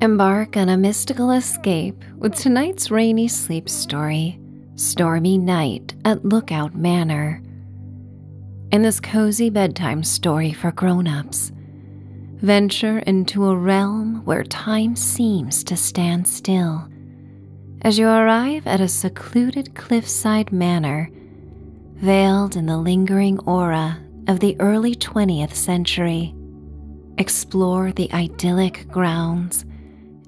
Embark on a mystical escape with tonight's rainy sleep story, Stormy Night at Lookout Manor. In this cozy bedtime story for grown-ups, venture into a realm where time seems to stand still. As you arrive at a secluded cliffside manor, veiled in the lingering aura of the early 20th century. Explore the idyllic grounds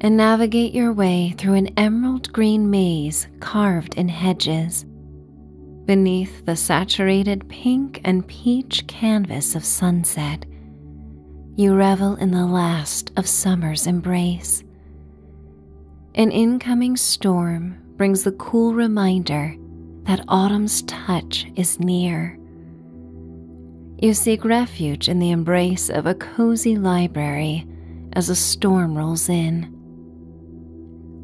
and navigate your way through an emerald green maze carved in hedges. Beneath the saturated pink and peach canvas of sunset, you revel in the last of summer's embrace. An incoming storm brings the cool reminder that autumn's touch is near. You seek refuge in the embrace of a cozy library as a storm rolls in.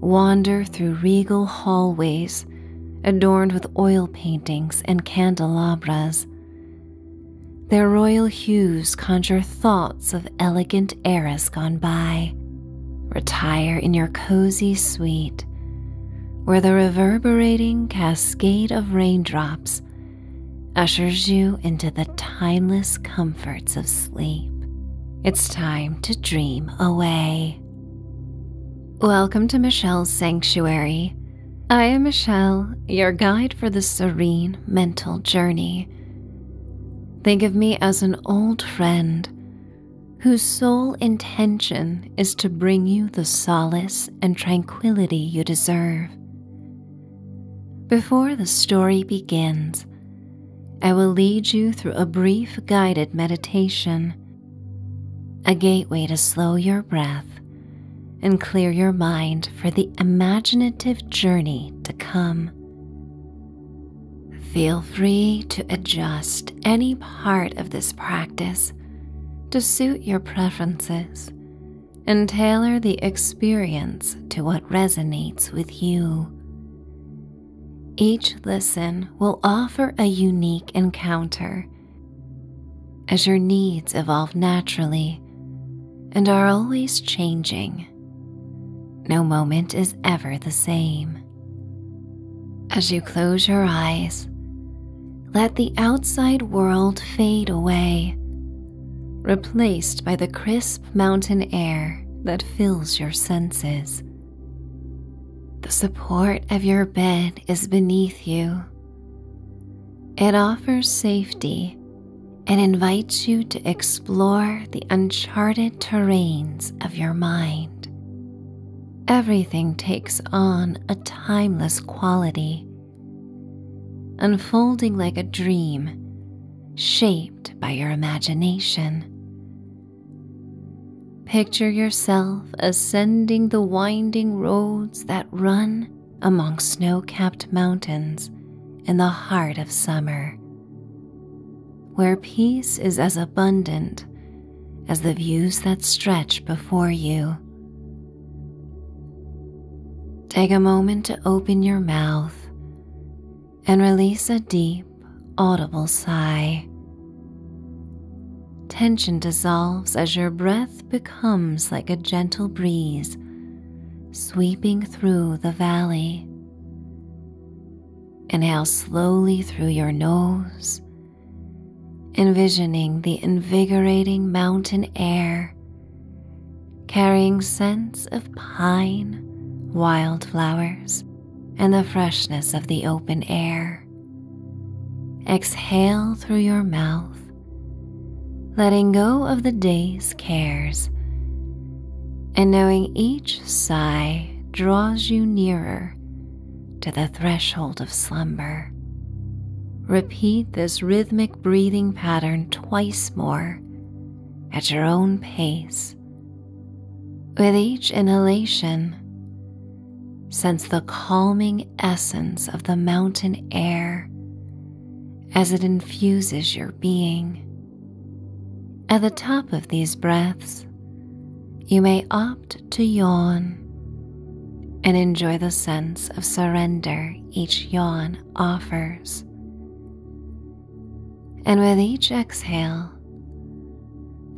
Wander through regal hallways adorned with oil paintings and candelabras. Their royal hues conjure thoughts of elegant eras gone by retire in your cozy suite where the reverberating cascade of raindrops ushers you into the timeless comforts of sleep. It's time to dream away. Welcome to Michelle's Sanctuary. I am Michelle, your guide for the serene mental journey. Think of me as an old friend whose sole intention is to bring you the solace and tranquility you deserve. Before the story begins, I will lead you through a brief guided meditation, a gateway to slow your breath and clear your mind for the imaginative journey to come. Feel free to adjust any part of this practice to suit your preferences and tailor the experience to what resonates with you. Each listen will offer a unique encounter as your needs evolve naturally and are always changing. No moment is ever the same. As you close your eyes, let the outside world fade away, replaced by the crisp mountain air that fills your senses. The support of your bed is beneath you. It offers safety and invites you to explore the uncharted terrains of your mind everything takes on a timeless quality, unfolding like a dream shaped by your imagination. Picture yourself ascending the winding roads that run among snow capped mountains in the heart of summer, where peace is as abundant as the views that stretch before you. Take a moment to open your mouth and release a deep, audible sigh. Tension dissolves as your breath becomes like a gentle breeze sweeping through the valley. Inhale slowly through your nose envisioning the invigorating mountain air carrying scents of pine, wildflowers, and the freshness of the open air. Exhale through your mouth, letting go of the day's cares, and knowing each sigh draws you nearer to the threshold of slumber. Repeat this rhythmic breathing pattern twice more at your own pace. With each inhalation, sense the calming essence of the mountain air as it infuses your being. At the top of these breaths, you may opt to yawn and enjoy the sense of surrender each yawn offers. And with each exhale,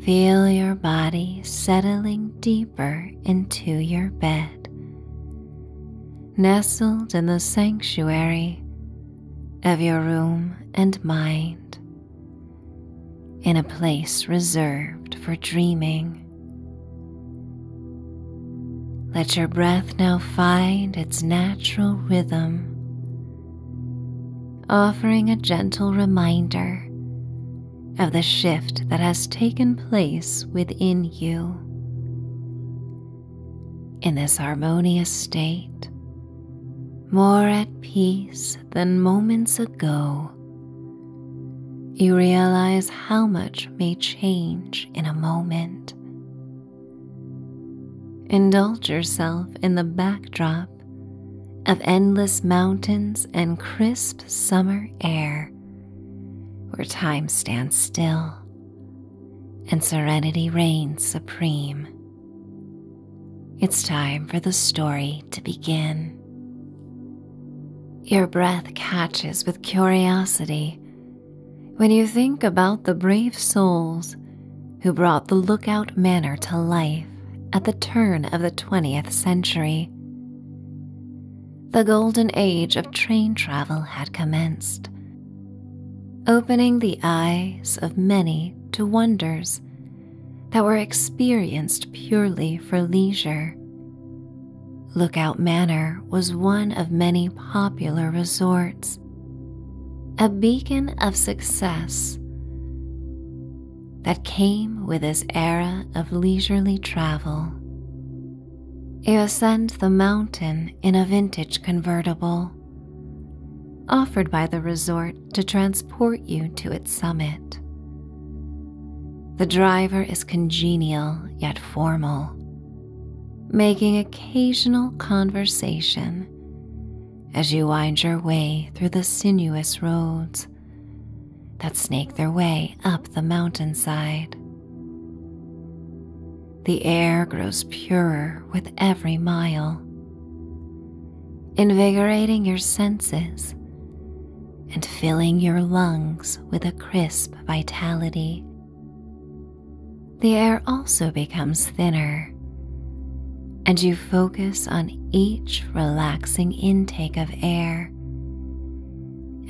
feel your body settling deeper into your bed, nestled in the sanctuary of your room and mind in a place reserved for dreaming. Let your breath now find its natural rhythm, offering a gentle reminder of the shift that has taken place within you. In this harmonious state, more at peace than moments ago, you realize how much may change in a moment. Indulge yourself in the backdrop of endless mountains and crisp summer air, where time stands still and serenity reigns supreme. It's time for the story to begin. Your breath catches with curiosity when you think about the brave souls who brought the Lookout Manor to life at the turn of the 20th century. The golden age of train travel had commenced, opening the eyes of many to wonders that were experienced purely for leisure. Lookout Manor was one of many popular resorts, a beacon of success that came with this era of leisurely travel. It ascend the mountain in a vintage convertible, offered by the resort to transport you to its summit. The driver is congenial yet formal, making occasional conversation as you wind your way through the sinuous roads that snake their way up the mountainside. The air grows purer with every mile, invigorating your senses and filling your lungs with a crisp vitality. The air also becomes thinner, and you focus on each relaxing intake of air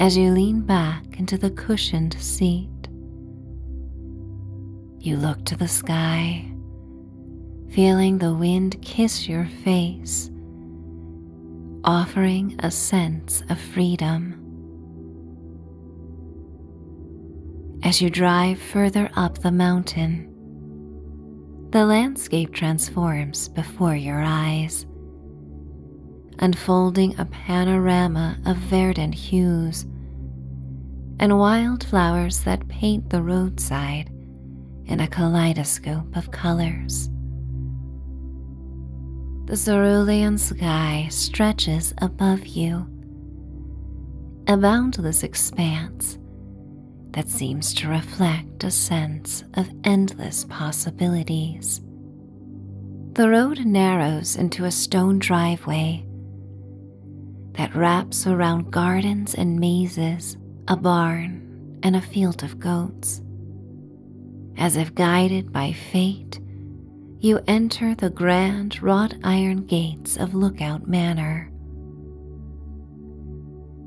as you lean back into the cushioned seat. You look to the sky, feeling the wind kiss your face offering a sense of freedom. As you drive further up the mountain, the landscape transforms before your eyes, unfolding a panorama of verdant hues and wildflowers that paint the roadside in a kaleidoscope of colors. The cerulean sky stretches above you. a boundless expanse that seems to reflect a sense of endless possibilities. The road narrows into a stone driveway that wraps around gardens and mazes, a barn, and a field of goats. As if guided by fate, you enter the grand wrought iron gates of Lookout Manor.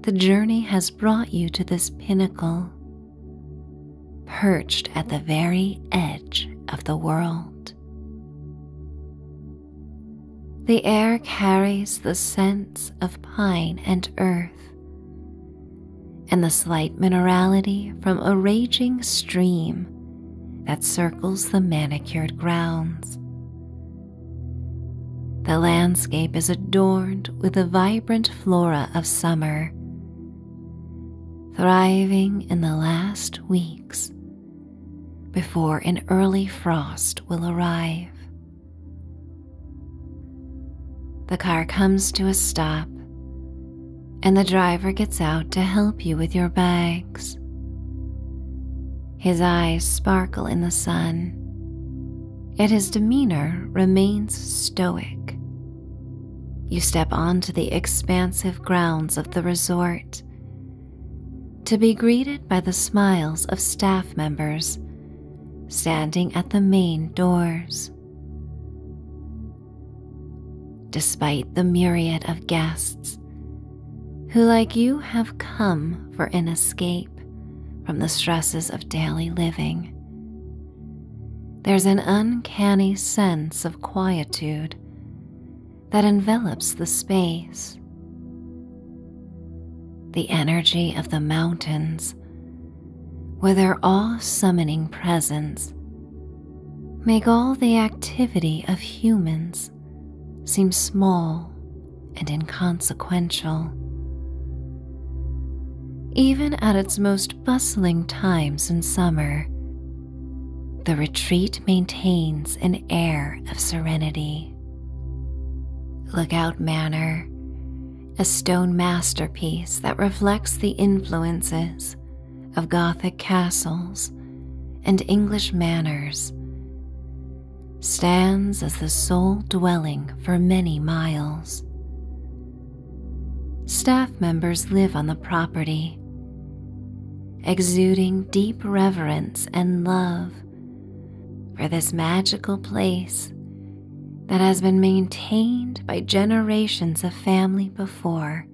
The journey has brought you to this pinnacle, perched at the very edge of the world. The air carries the scents of pine and earth and the slight minerality from a raging stream that circles the manicured grounds. The landscape is adorned with the vibrant flora of summer, thriving in the last weeks before an early frost will arrive. The car comes to a stop, and the driver gets out to help you with your bags. His eyes sparkle in the sun, yet his demeanor remains stoic. You step onto the expansive grounds of the resort to be greeted by the smiles of staff members standing at the main doors. Despite the myriad of guests who, like you, have come for an escape from the stresses of daily living, there's an uncanny sense of quietude that envelops the space. The energy of the mountains where their all summoning presence, make all the activity of humans seem small and inconsequential. Even at its most bustling times in summer, the retreat maintains an air of serenity. Lookout Manor a stone masterpiece that reflects the influences of Gothic castles and English manors, stands as the sole dwelling for many miles. Staff members live on the property, exuding deep reverence and love for this magical place that has been maintained by generations of family before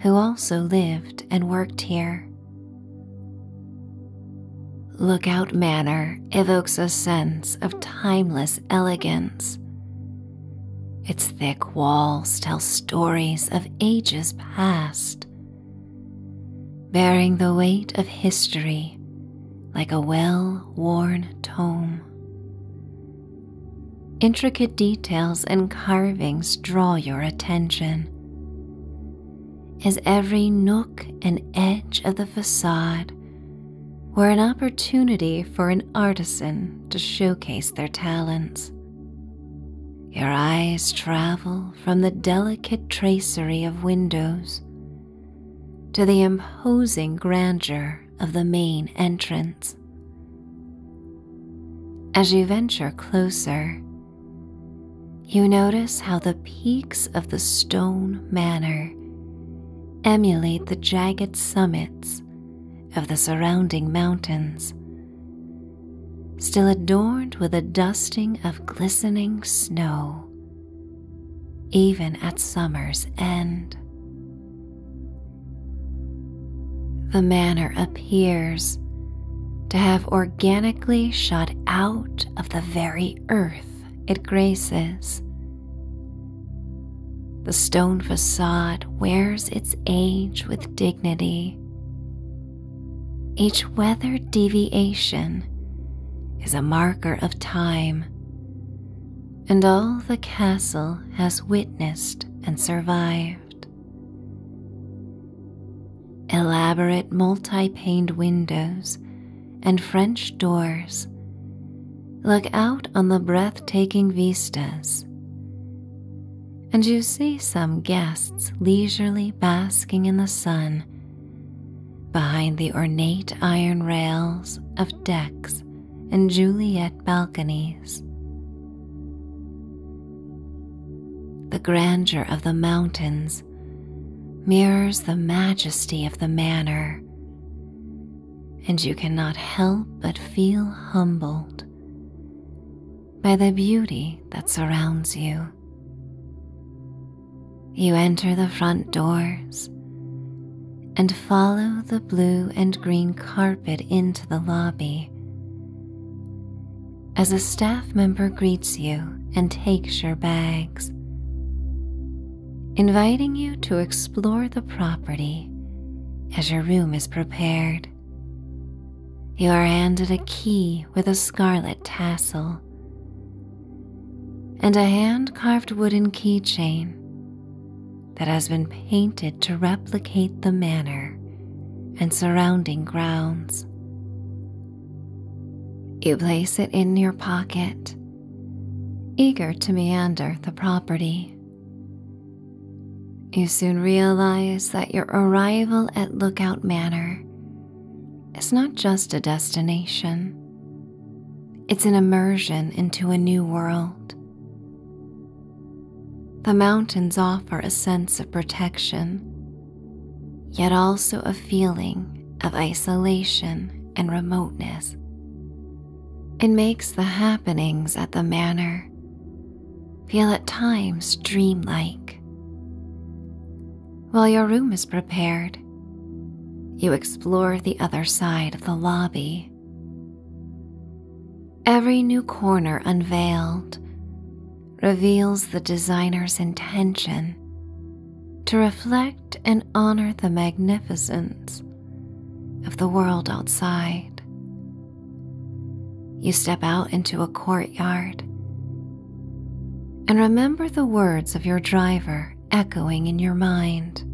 who also lived and worked here. Lookout Manor evokes a sense of timeless elegance. Its thick walls tell stories of ages past, bearing the weight of history like a well worn tome. Intricate details and carvings draw your attention as every nook and edge of the facade were an opportunity for an artisan to showcase their talents. Your eyes travel from the delicate tracery of windows to the imposing grandeur of the main entrance. As you venture closer, you notice how the peaks of the stone manor emulate the jagged summits of the surrounding mountains, still adorned with a dusting of glistening snow even at summer's end. The manor appears to have organically shot out of the very earth it graces. The stone facade wears its age with dignity. Each weather deviation is a marker of time and all the castle has witnessed and survived. Elaborate multi paned windows and French doors look out on the breathtaking vistas, and you see some guests leisurely basking in the sun behind the ornate iron rails of decks and Juliet balconies. The grandeur of the mountains mirrors the majesty of the manor, and you cannot help but feel humbled by the beauty that surrounds you. You enter the front doors and follow the blue and green carpet into the lobby. As a staff member greets you and takes your bags, inviting you to explore the property as your room is prepared. You are handed a key with a scarlet tassel and a hand carved wooden keychain that has been painted to replicate the manor and surrounding grounds. You place it in your pocket, eager to meander the property. You soon realize that your arrival at Lookout Manor is not just a destination, it's an immersion into a new world. The mountains offer a sense of protection, yet also a feeling of isolation and remoteness. It makes the happenings at the manor feel at times dreamlike. While your room is prepared, you explore the other side of the lobby Every new corner unveiled reveals the designer's intention to reflect and honor the magnificence of the world outside. You step out into a courtyard and remember the words of your driver echoing in your mind.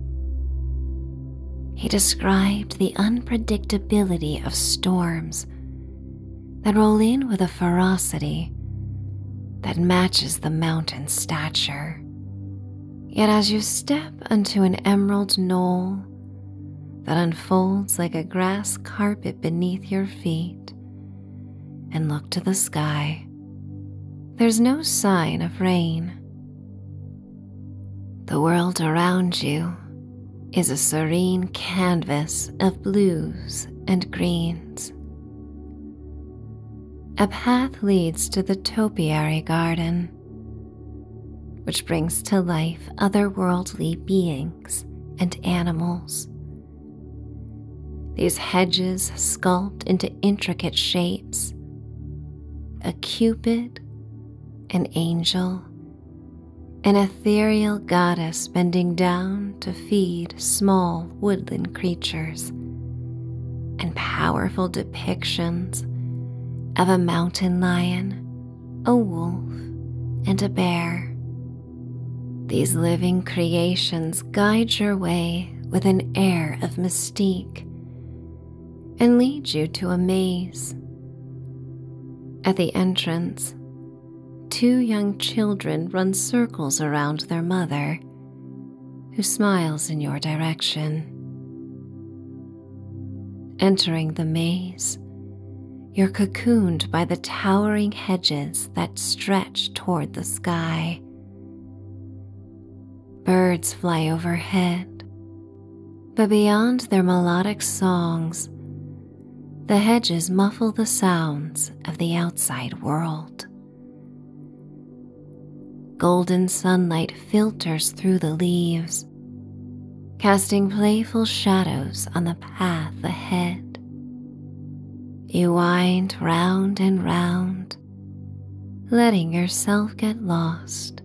He described the unpredictability of storms that roll in with a ferocity that matches the mountain's stature. Yet, as you step onto an emerald knoll that unfolds like a grass carpet beneath your feet and look to the sky, there's no sign of rain. The world around you is a serene canvas of blues and greens. A path leads to the topiary garden, which brings to life otherworldly beings and animals. These hedges sculpt into intricate shapes. A cupid an angel, an ethereal goddess bending down to feed small woodland creatures, and powerful depictions of a mountain lion, a wolf, and a bear. These living creations guide your way with an air of mystique and lead you to a maze. At the entrance, two young children run circles around their mother, who smiles in your direction. Entering the maze, you're cocooned by the towering hedges that stretch toward the sky. Birds fly overhead, but beyond their melodic songs, the hedges muffle the sounds of the outside world. Golden sunlight filters through the leaves, casting playful shadows on the path ahead. You wind round and round, letting yourself get lost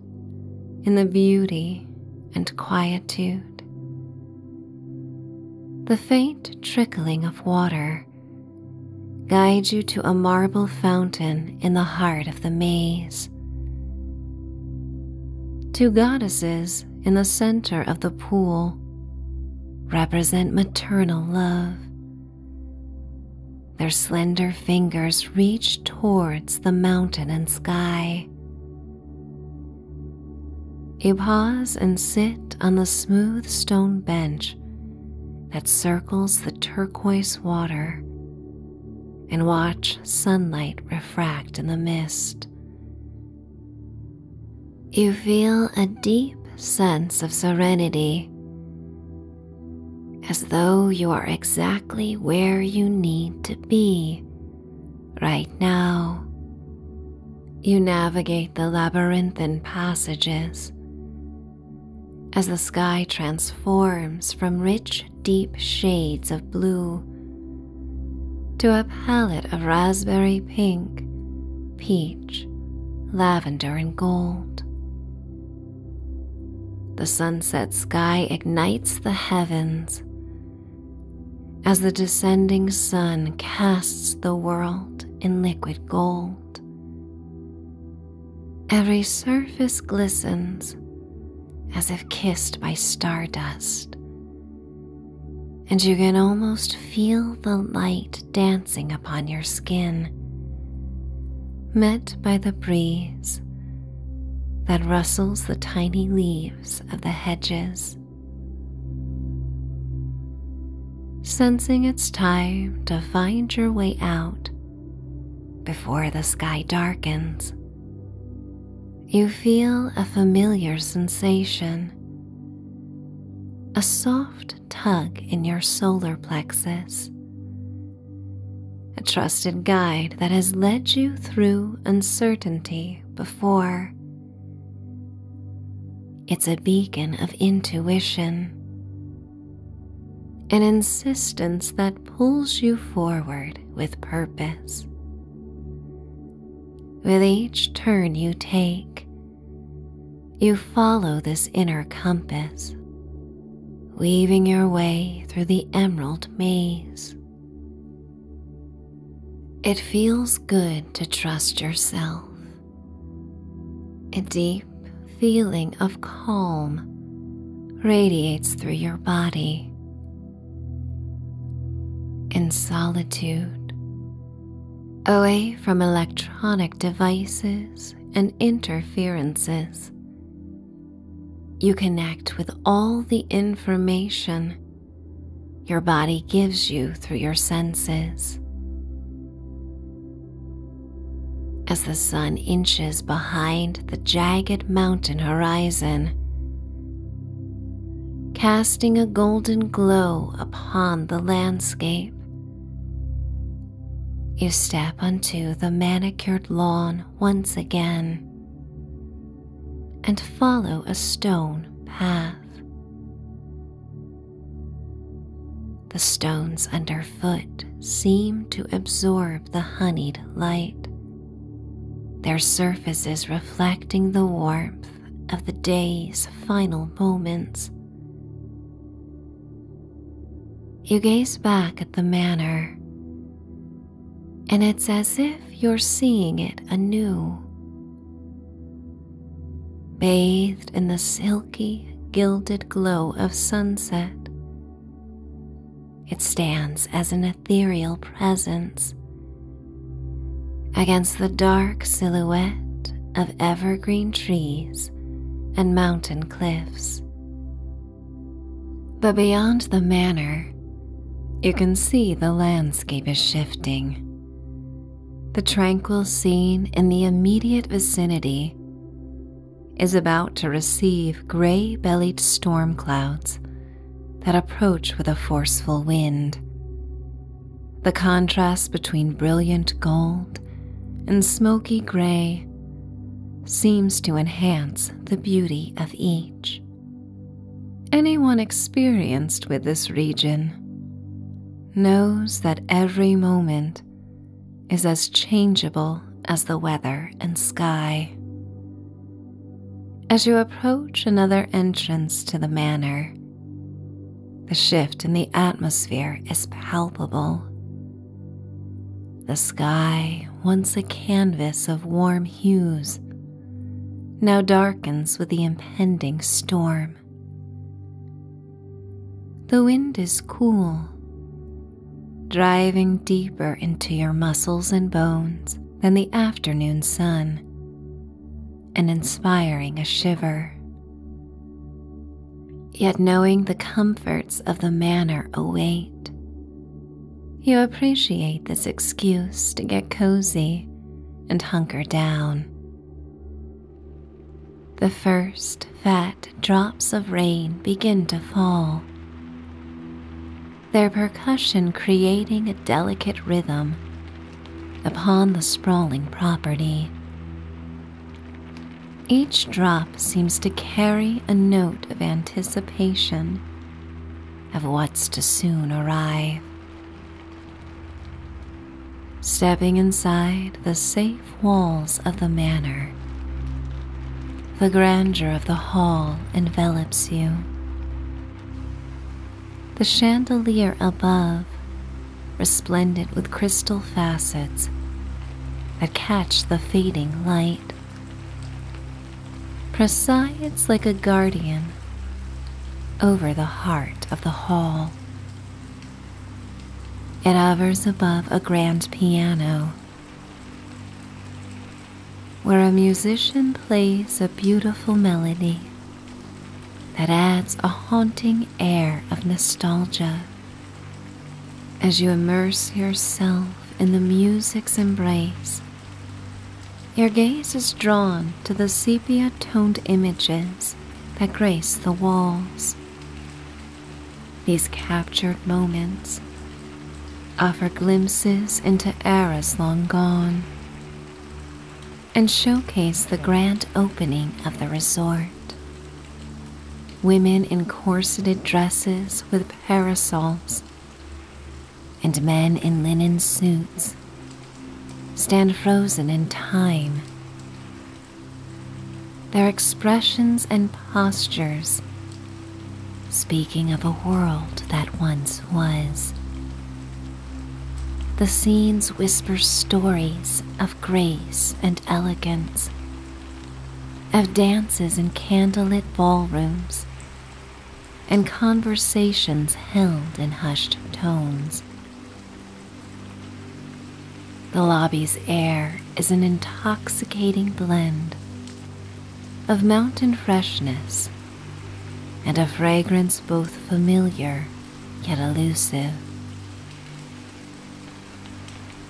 in the beauty and quietude. The faint trickling of water guides you to a marble fountain in the heart of the maze. Two goddesses in the center of the pool represent maternal love. Their slender fingers reach towards the mountain and sky. You pause and sit on the smooth stone bench that circles the turquoise water and watch sunlight refract in the mist. You feel a deep sense of serenity as though you are exactly where you need to be right now. You navigate the labyrinthine passages as the sky transforms from rich, deep shades of blue to a palette of raspberry pink, peach, lavender, and gold. The sunset sky ignites the heavens as the descending sun casts the world in liquid gold. Every surface glistens as if kissed by stardust, and you can almost feel the light dancing upon your skin, met by the breeze that rustles the tiny leaves of the hedges. Sensing it's time to find your way out before the sky darkens, you feel a familiar sensation, a soft tug in your solar plexus a trusted guide that has led you through uncertainty before. It's a beacon of intuition, an insistence that pulls you forward with purpose. With each turn you take, you follow this inner compass weaving your way through the emerald maze. It feels good to trust yourself. A deep feeling of calm radiates through your body. In solitude, away from electronic devices and interferences, you connect with all the information your body gives you through your senses. As the sun inches behind the jagged mountain horizon, casting a golden glow upon the landscape, you step onto the manicured lawn once again and follow a stone path. The stones underfoot seem to absorb the honeyed light, their surfaces reflecting the warmth of the day's final moments. You gaze back at the manor, and it's as if you're seeing it anew. Bathed in the silky, gilded glow of sunset, it stands as an ethereal presence against the dark silhouette of evergreen trees and mountain cliffs. But beyond the manor, you can see the landscape is shifting. The tranquil scene in the immediate vicinity is about to receive gray bellied storm clouds that approach with a forceful wind. The contrast between brilliant gold and smoky gray seems to enhance the beauty of each. Anyone experienced with this region knows that every moment is as changeable as the weather and sky. As you approach another entrance to the manor, the shift in the atmosphere is palpable. The sky, once a canvas of warm hues, now darkens with the impending storm. The wind is cool, driving deeper into your muscles and bones than the afternoon sun and inspiring a shiver. Yet knowing the comforts of the manor await, you appreciate this excuse to get cozy and hunker down. The first fat drops of rain begin to fall, their percussion creating a delicate rhythm upon the sprawling property. Each drop seems to carry a note of anticipation of what's to soon arrive. Stepping inside the safe walls of the manor, the grandeur of the hall envelops you. The chandelier above, resplendent with crystal facets that catch the fading light presides like a guardian over the heart of the hall. It hovers above a grand piano where a musician plays a beautiful melody that adds a haunting air of nostalgia as you immerse yourself in the music's embrace your gaze is drawn to the sepia toned images that grace the walls. These captured moments offer glimpses into eras long gone and showcase the grand opening of the resort. Women in corseted dresses with parasols and men in linen suits stand frozen in time. Their expressions and postures speaking of a world that once was. The scenes whisper stories of grace and elegance, of dances in candlelit ballrooms and conversations held in hushed tones. The lobby's air is an intoxicating blend of mountain freshness and a fragrance both familiar yet elusive.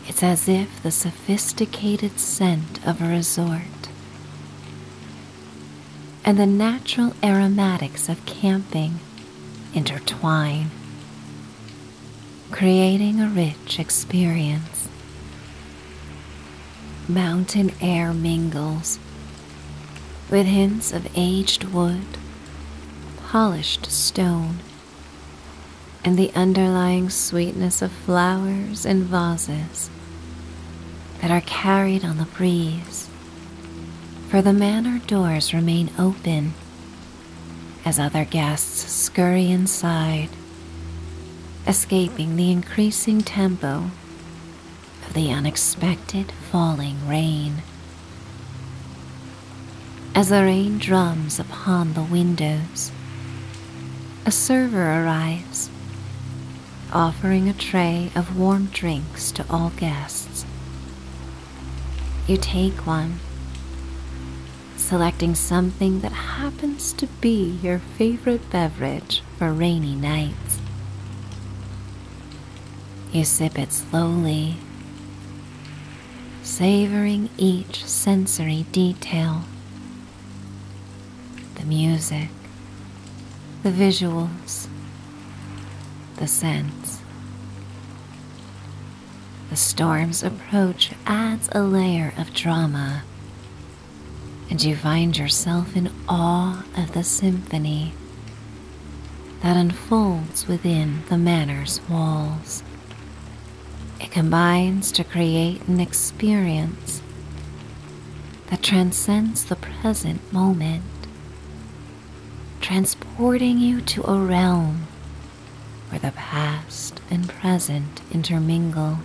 It's as if the sophisticated scent of a resort and the natural aromatics of camping intertwine, creating a rich experience. Mountain air mingles with hints of aged wood, polished stone, and the underlying sweetness of flowers and vases that are carried on the breeze, for the manor doors remain open as other guests scurry inside, escaping the increasing tempo of the unexpected falling rain. As the rain drums upon the windows, a server arrives offering a tray of warm drinks to all guests. You take one, selecting something that happens to be your favorite beverage for rainy nights. You sip it slowly, savoring each sensory detail the music, the visuals, the sense, The storm's approach adds a layer of drama, and you find yourself in awe of the symphony that unfolds within the manor's walls. It combines to create an experience that transcends the present moment, transporting you to a realm where the past and present intermingle.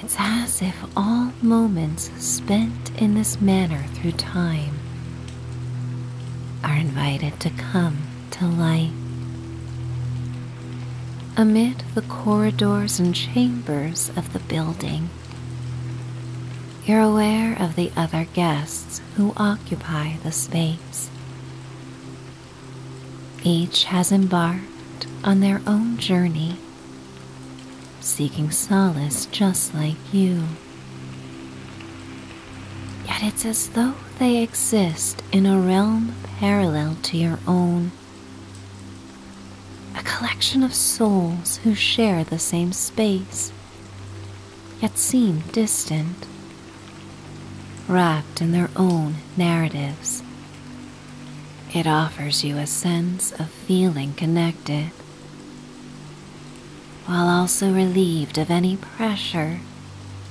It's as if all moments spent in this manner through time are invited to come to light amid the corridors and chambers of the building. You're aware of the other guests who occupy the space. Each has embarked on their own journey, seeking solace just like you. Yet it's as though they exist in a realm parallel to your own a collection of souls who share the same space, yet seem distant, wrapped in their own narratives. It offers you a sense of feeling connected, while also relieved of any pressure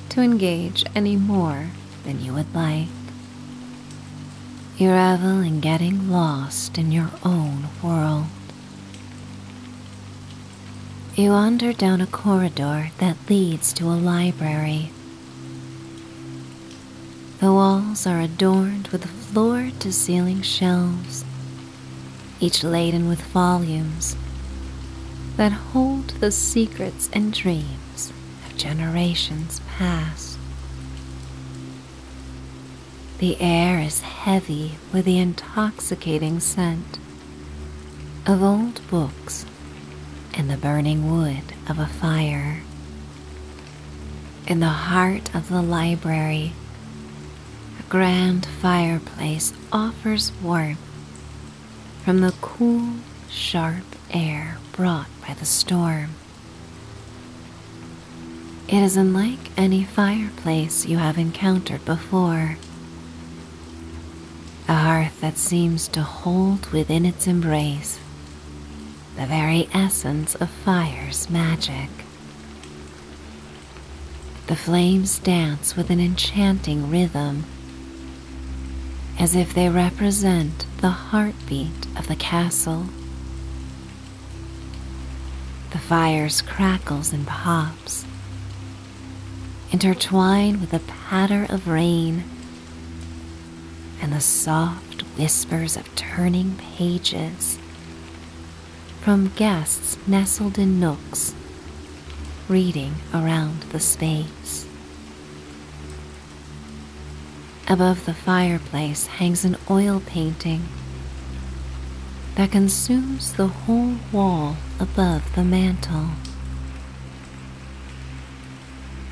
to engage any more than you would like. You revel in getting lost in your own world. You wander down a corridor that leads to a library. The walls are adorned with floor to ceiling shelves, each laden with volumes that hold the secrets and dreams of generations past. The air is heavy with the intoxicating scent of old books and the burning wood of a fire. In the heart of the library, a grand fireplace offers warmth from the cool, sharp air brought by the storm. It is unlike any fireplace you have encountered before. A hearth that seems to hold within its embrace the very essence of fire's magic. The flames dance with an enchanting rhythm, as if they represent the heartbeat of the castle the fire's crackles and pops intertwined with the patter of rain and the soft whispers of turning pages from guests nestled in nooks reading around the space. Above the fireplace hangs an oil painting that consumes the whole wall above the mantel.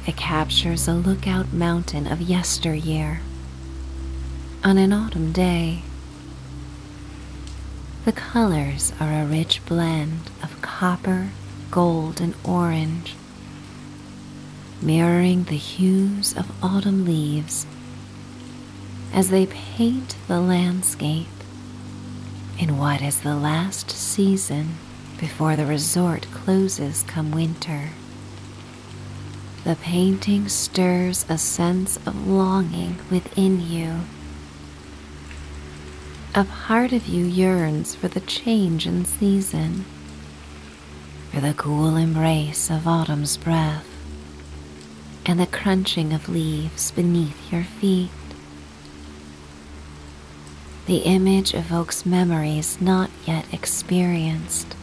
It captures a lookout mountain of yesteryear on an autumn day. The colors are a rich blend of copper, gold, and orange, mirroring the hues of autumn leaves as they paint the landscape in what is the last season before the resort closes come winter. The painting stirs a sense of longing within you. A part of you yearns for the change in season for the cool embrace of autumn's breath and the crunching of leaves beneath your feet. The image evokes memories not yet experienced,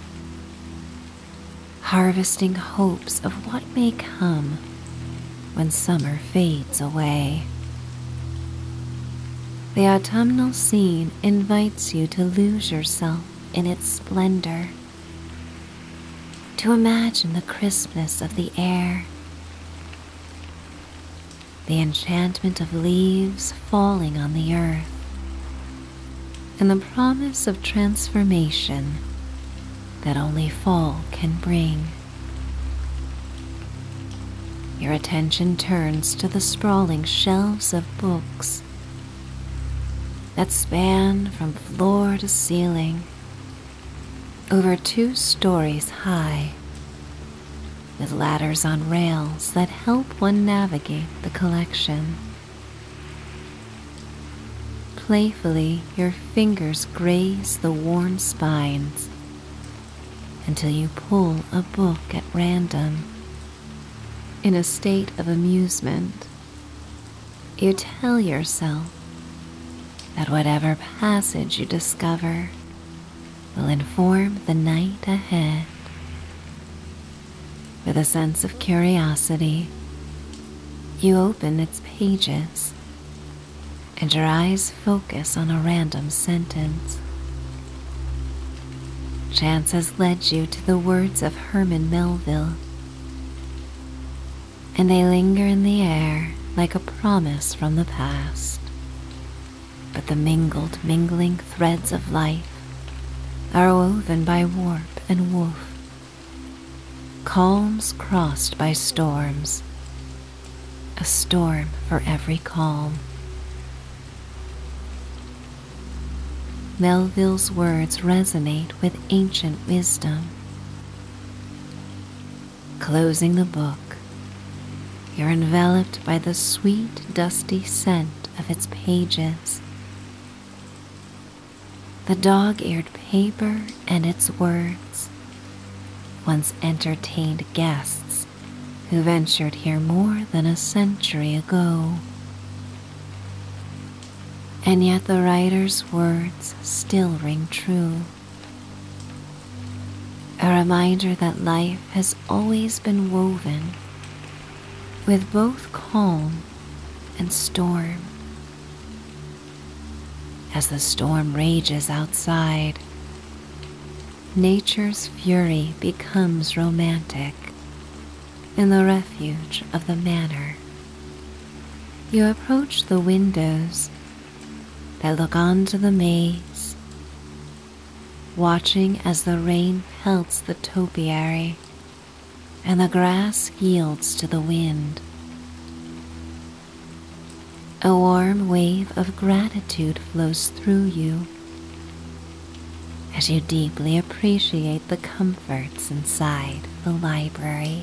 harvesting hopes of what may come when summer fades away. The autumnal scene invites you to lose yourself in its splendor, to imagine the crispness of the air, the enchantment of leaves falling on the earth, and the promise of transformation that only fall can bring. Your attention turns to the sprawling shelves of books that span from floor to ceiling, over two stories high, with ladders on rails that help one navigate the collection. Playfully, your fingers graze the worn spines until you pull a book at random in a state of amusement, you tell yourself that whatever passage you discover will inform the night ahead. With a sense of curiosity, you open its pages and your eyes focus on a random sentence Chance has led you to the words of Herman Melville, and they linger in the air like a promise from the past. But the mingled, mingling threads of life are woven by warp and woof, calms crossed by storms, a storm for every calm. Melville's words resonate with ancient wisdom. Closing the book, you're enveloped by the sweet, dusty scent of its pages. The dog eared paper and its words once entertained guests who ventured here more than a century ago. And yet the writer's words still ring true. A reminder that life has always been woven with both calm and storm. As the storm rages outside, nature's fury becomes romantic in the refuge of the manor. You approach the windows that look onto the maze, watching as the rain pelts the topiary and the grass yields to the wind. A warm wave of gratitude flows through you as you deeply appreciate the comforts inside the library.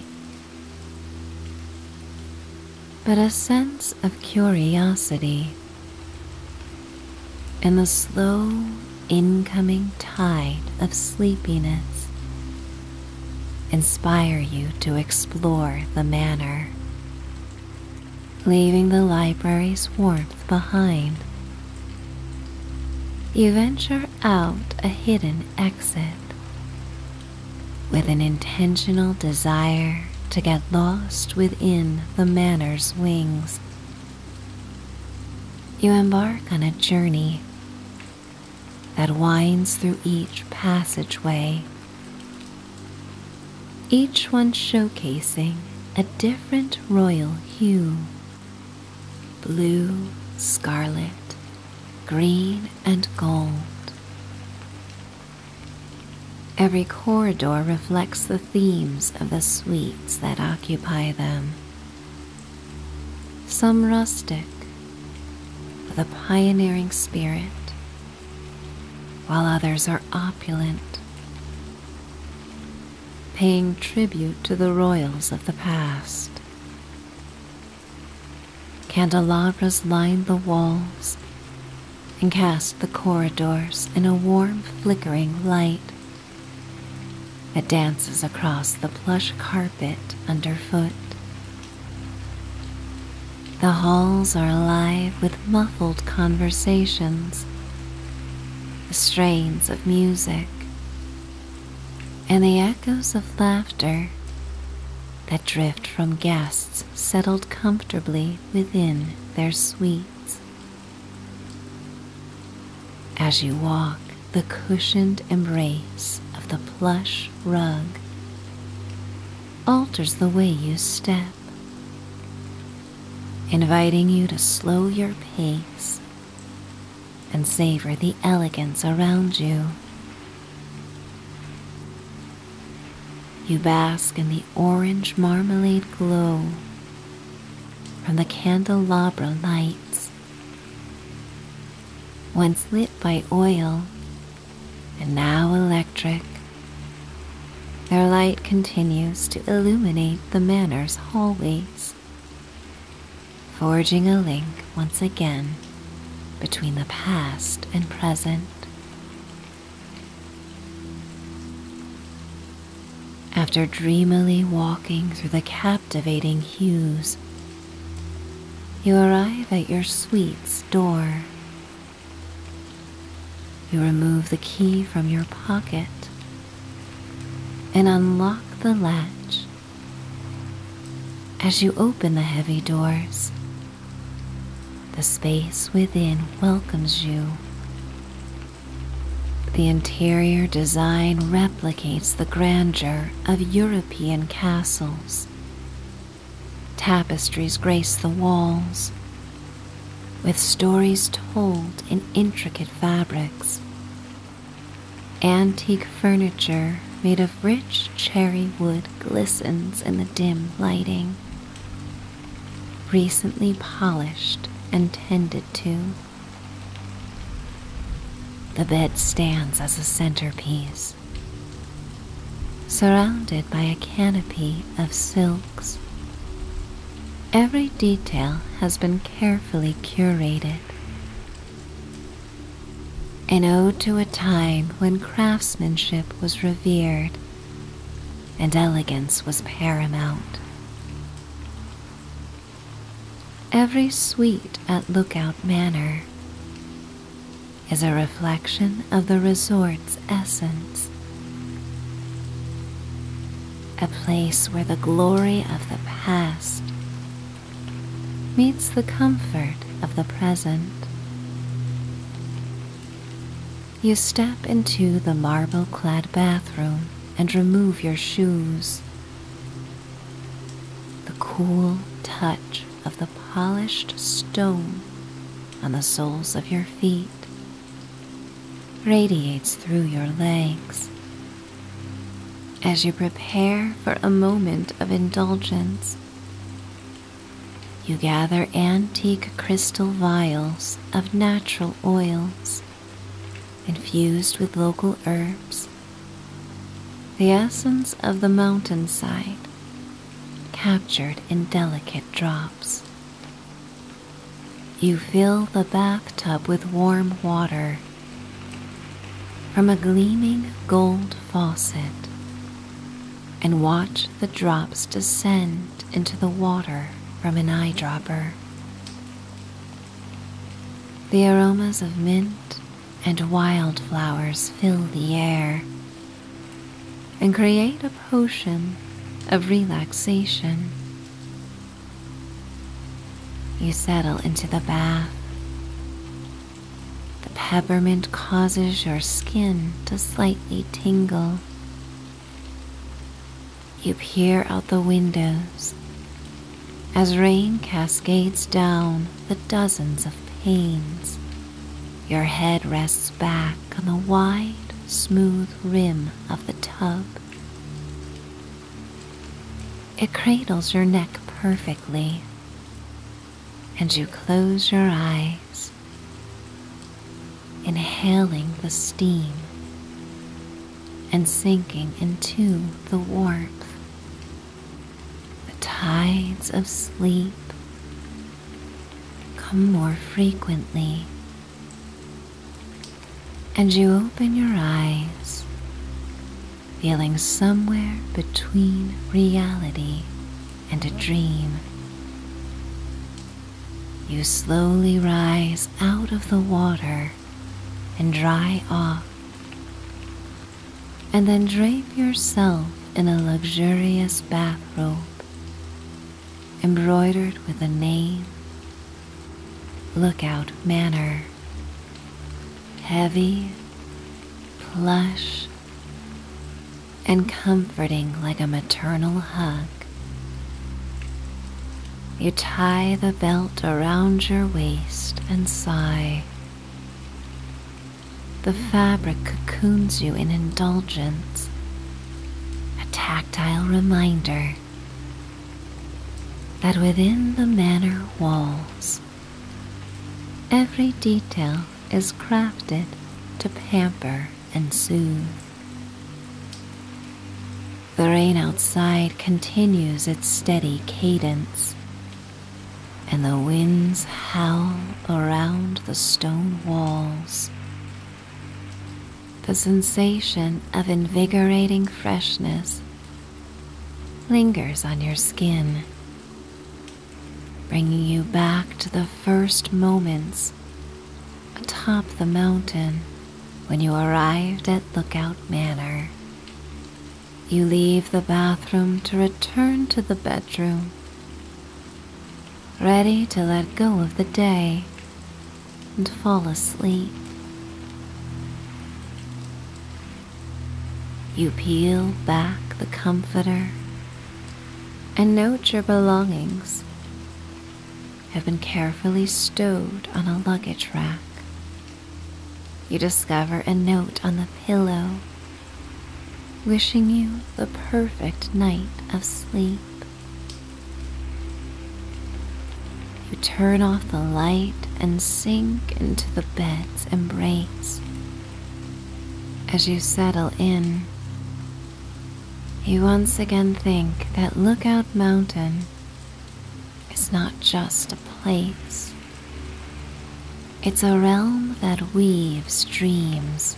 But a sense of curiosity and the slow incoming tide of sleepiness inspire you to explore the manor, leaving the library's warmth behind. You venture out a hidden exit with an intentional desire to get lost within the manor's wings. You embark on a journey that winds through each passageway, each one showcasing a different royal hue blue, scarlet, green, and gold. Every corridor reflects the themes of the suites that occupy them. Some rustic, with a pioneering spirit, while others are opulent, paying tribute to the royals of the past. Candelabras lined the walls and cast the corridors in a warm, flickering light that dances across the plush carpet underfoot. The halls are alive with muffled conversations the strains of music, and the echoes of laughter that drift from guests settled comfortably within their suites. As you walk, the cushioned embrace of the plush rug alters the way you step, inviting you to slow your pace and savor the elegance around you. You bask in the orange marmalade glow from the candelabra lights, once lit by oil and now electric. Their light continues to illuminate the manor's hallways forging a link once again between the past and present. After dreamily walking through the captivating hues, you arrive at your suite's door. You remove the key from your pocket and unlock the latch. As you open the heavy doors, the space within welcomes you. The interior design replicates the grandeur of European castles. Tapestries grace the walls, with stories told in intricate fabrics Antique furniture made of rich cherry wood glistens in the dim lighting. Recently polished and tended to. The bed stands as a centerpiece, surrounded by a canopy of silks. Every detail has been carefully curated an ode to a time when craftsmanship was revered and elegance was paramount. Every suite at Lookout Manor is a reflection of the resort's essence a place where the glory of the past meets the comfort of the present. You step into the marble clad bathroom and remove your shoes. The cool touch of the polished stone on the soles of your feet radiates through your legs as you prepare for a moment of indulgence. You gather antique crystal vials of natural oils infused with local herbs, the essence of the mountainside captured in delicate drops. You fill the bathtub with warm water from a gleaming gold faucet and watch the drops descend into the water from an eyedropper. The aromas of mint and wildflowers fill the air and create a potion of relaxation you settle into the bath. The peppermint causes your skin to slightly tingle. You peer out the windows as rain cascades down the dozens of panes. Your head rests back on the wide, smooth rim of the tub. It cradles your neck perfectly, and you close your eyes, inhaling the steam and sinking into the warmth. The tides of sleep come more frequently and you open your eyes, feeling somewhere between reality and a dream. You slowly rise out of the water and dry off, and then drape yourself in a luxurious bathrobe embroidered with a name Lookout manner, Heavy, plush, and comforting like a maternal hug. You tie the belt around your waist and sigh. The fabric cocoons you in indulgence, a tactile reminder that within the manor walls every detail is crafted to pamper and soothe. The rain outside continues its steady cadence, and the winds howl around the stone walls. The sensation of invigorating freshness lingers on your skin, bringing you back to the first moments atop the mountain when you arrived at Lookout Manor. You leave the bathroom to return to the bedroom, ready to let go of the day and fall asleep. You peel back the comforter and note your belongings have been carefully stowed on a luggage rack. You discover a note on the pillow wishing you the perfect night of sleep. You turn off the light and sink into the bed's embrace. As you settle in, you once again think that Lookout Mountain is not just a place, it's a realm that weaves dreams.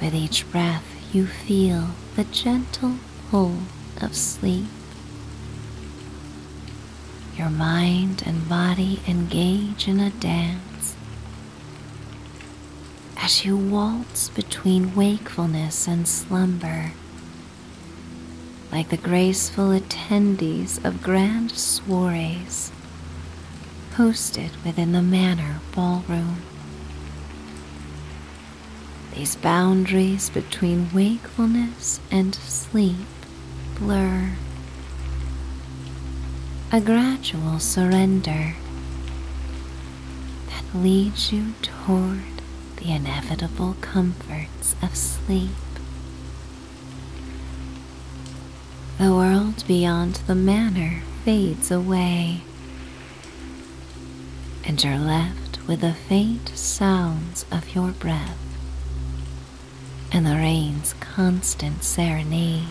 With each breath, you feel the gentle full of sleep. Your mind and body engage in a dance as you waltz between wakefulness and slumber, like the graceful attendees of grand soirees hosted within the manor ballroom. These boundaries between wakefulness and sleep blur. A gradual surrender that leads you toward the inevitable comforts of sleep. The world beyond the manor fades away, and you're left with the faint sounds of your breath and the rain's constant serenade.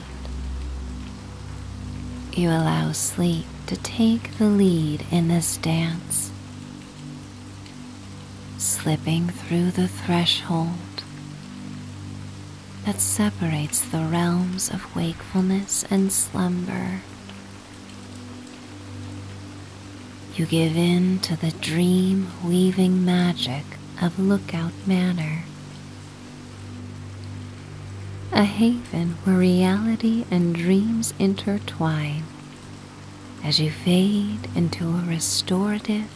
You allow sleep to take the lead in this dance, slipping through the threshold that separates the realms of wakefulness and slumber you give in to the dream weaving magic of Lookout Manor, a haven where reality and dreams intertwine as you fade into a restorative,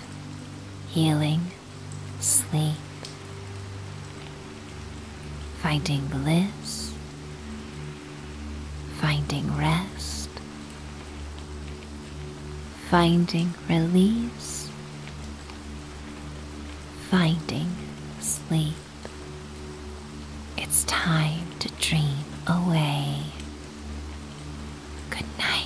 healing sleep, finding bliss finding rest, finding release, finding sleep. It's time to dream away. Good night.